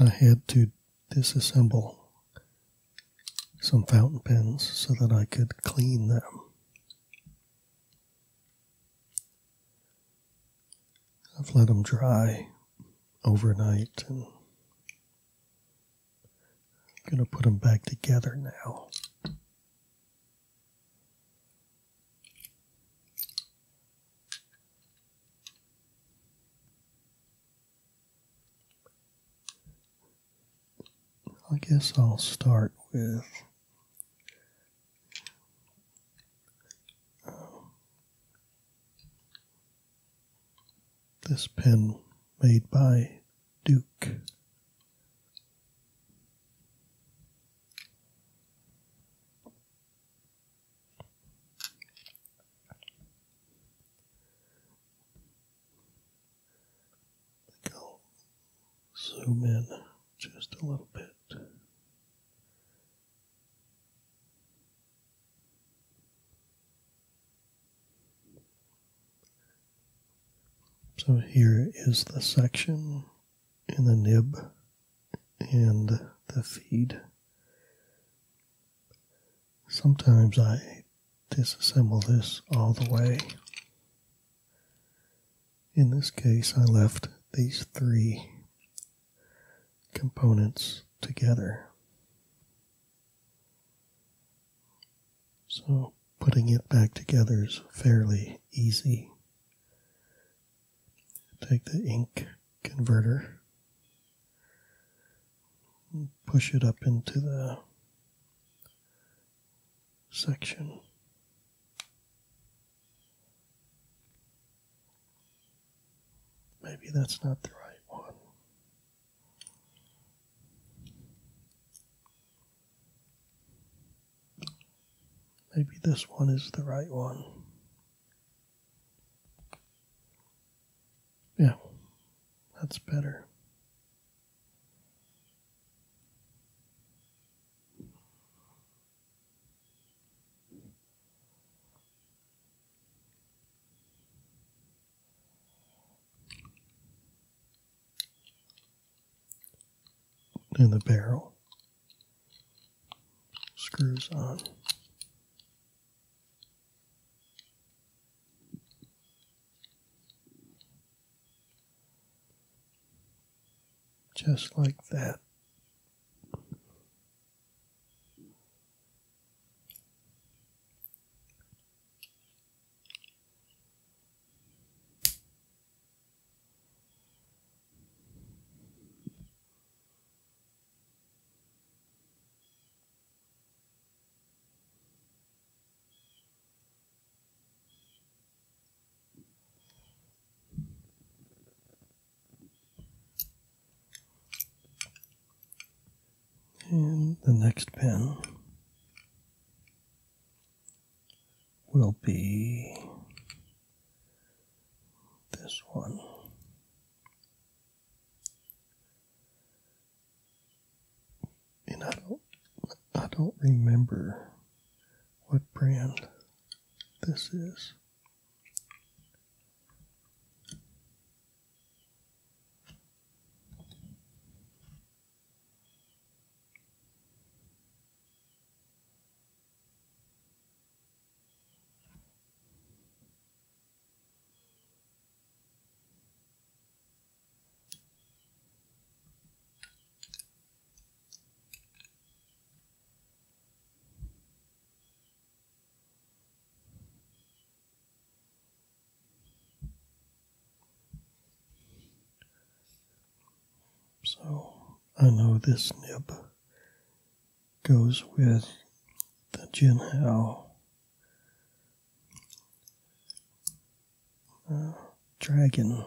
I had to disassemble some fountain pens so that I could clean them. I've let them dry overnight and I'm going to put them back together now. I guess I'll start with um, this pen made by Duke. I think i zoom in just a little bit. So here is the section and the nib and the feed. Sometimes I disassemble this all the way. In this case, I left these three components together. So putting it back together is fairly easy. Take the ink converter, push it up into the section. Maybe that's not the right one. Maybe this one is the right one. Yeah, that's better. In the barrel screws on. Just like that. And the next pen will be this one. I don't I don't remember what brand this is. So I know this nib goes with the Jin Hao uh, dragon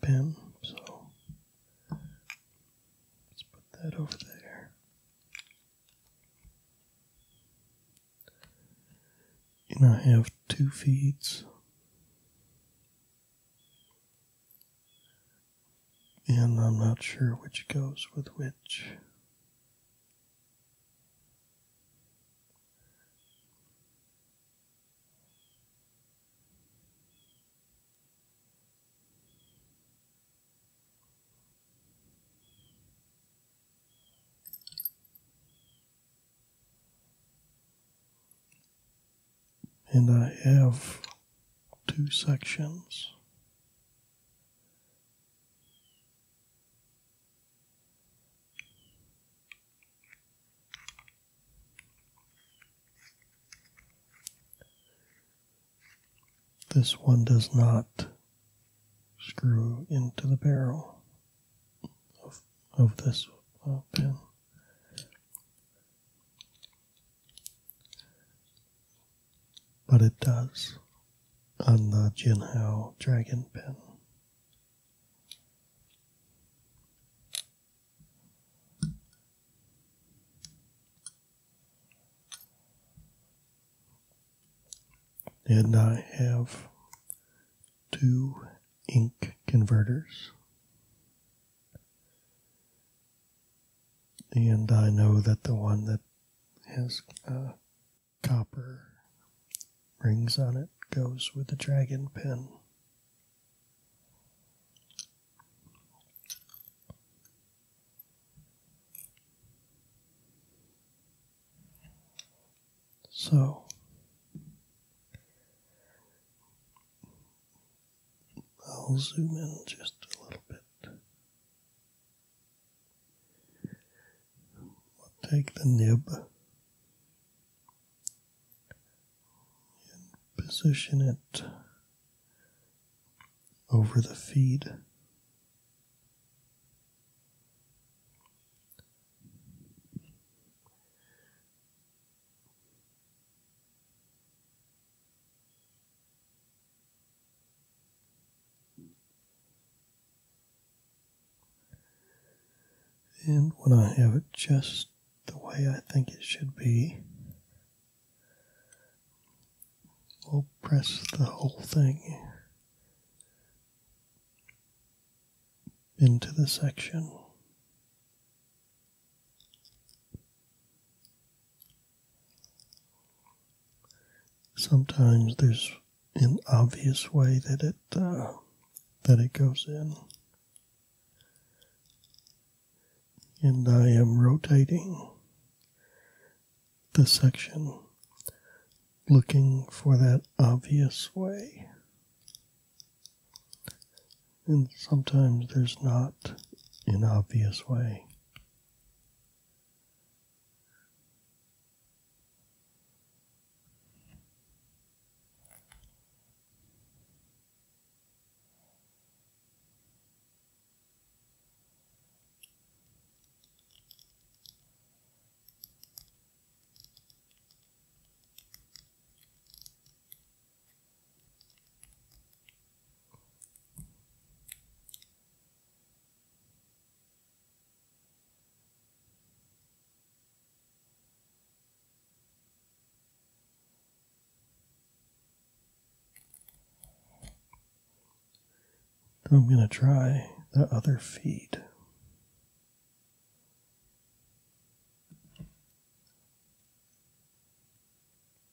pen, So let's put that over there. And I have two feeds and I'm not sure which goes with which and I have two sections. This one does not screw into the barrel of, this pen. But it does on the Jinhao Dragon pen. And I have two ink converters and I know that the one that has uh, copper rings on it goes with the dragon pin. So I'll zoom in just a little bit. We'll take the nib and position it over the feed. And when I have it just the way I think it should be, i will press the whole thing into the section. Sometimes there's an obvious way that it uh, that it goes in, and I am rotating the section looking for that obvious way. And sometimes there's not an obvious way. I'm going to try the other feed.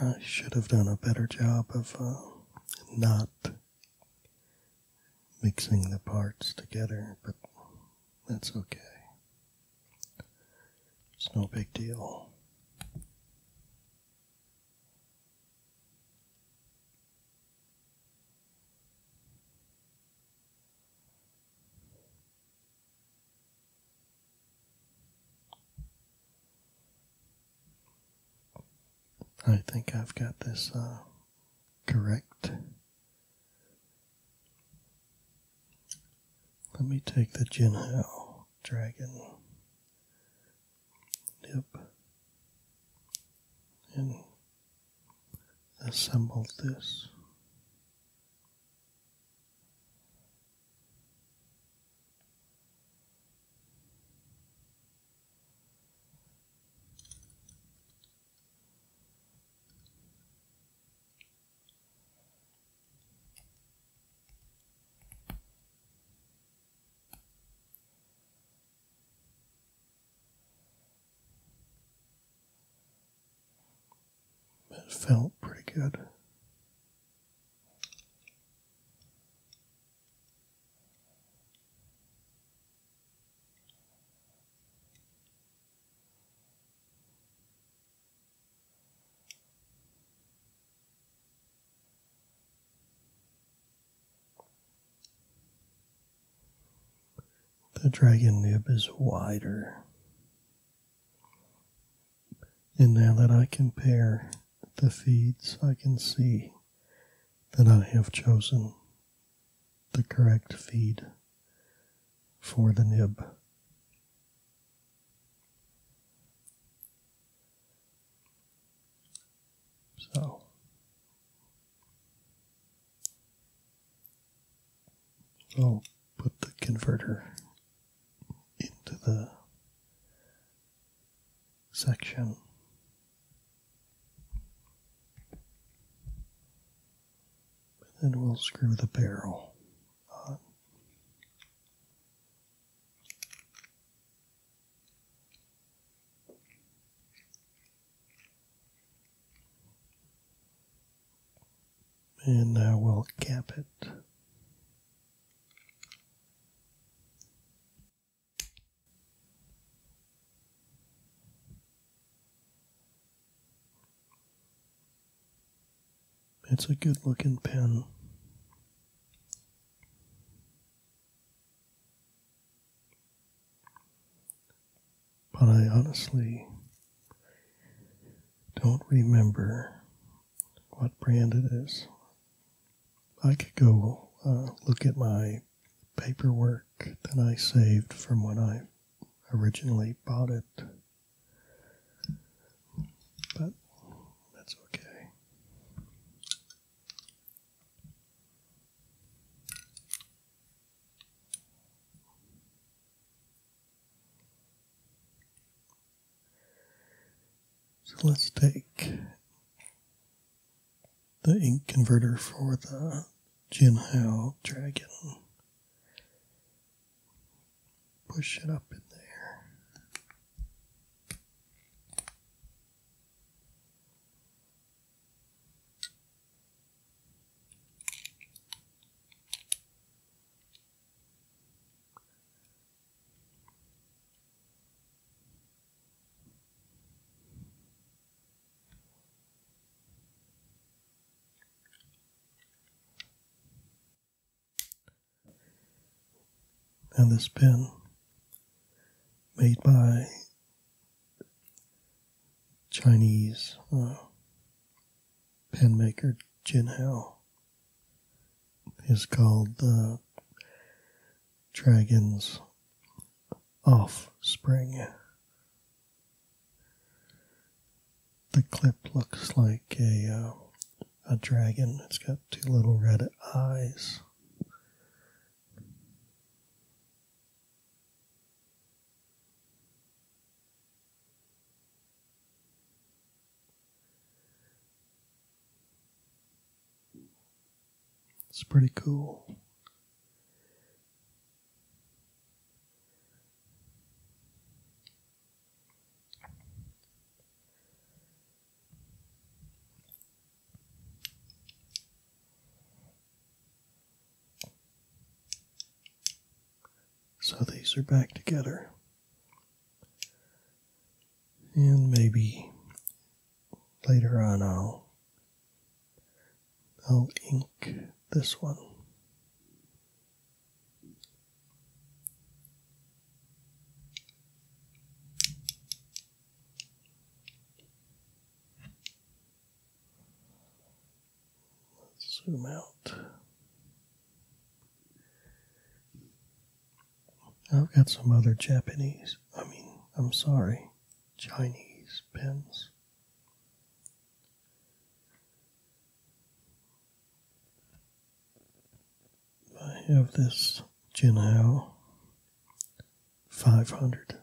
I should have done a better job of uh, not mixing the parts together, but that's okay. It's no big deal. I think I've got this uh, correct. Let me take the Jinhao dragon Yep. And assembled this. It felt pretty good. The dragon nib is wider. And now that I compare the feeds, I can see that I have chosen the correct feed for the nib. So I'll put the converter into the section. And we'll screw the barrel on. And now we'll cap it. It's a good looking pen. But I honestly don't remember what brand it is. I could go uh, look at my paperwork that I saved from when I originally bought it. But that's okay. So let's take the ink converter for the Jinhao Dragon push it up in there and this pen made by Chinese uh, pen maker Jin Hao is called the uh, Dragon's Offspring. The clip looks like a uh, a dragon. It's got two little red eyes. It's pretty cool. So these are back together. And maybe later on I'll I'll ink this one zoom out. I've got some other Japanese, I mean, I'm sorry, Chinese pens. I have this Jinhao 500.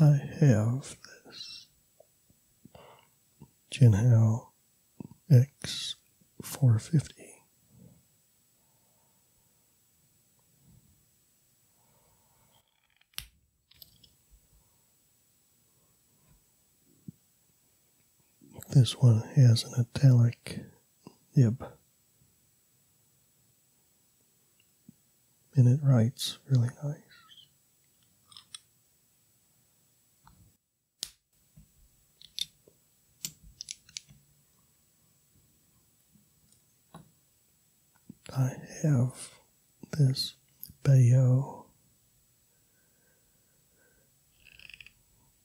I have this Jinhao X450. This one has an italic nib. And it writes really nice. I have this Bayo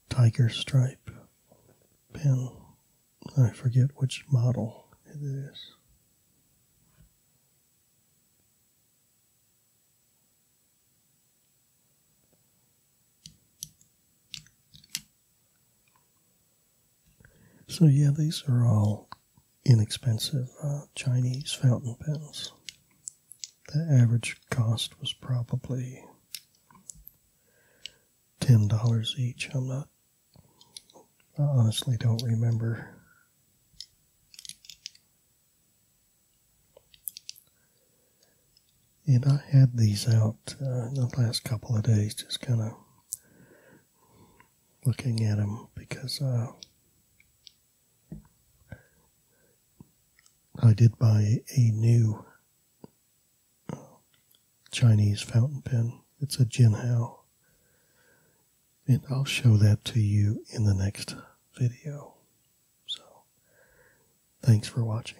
tiger stripe pen. I forget which model it is. So, yeah, these are all inexpensive uh, Chinese fountain pens. The average cost was probably $10 each. I'm not, I honestly don't remember. And I had these out uh, in the last couple of days, just kind of looking at them because uh, I did buy a new uh, Chinese fountain pen. It's a Jinhao and I'll show that to you in the next video. So, thanks for watching.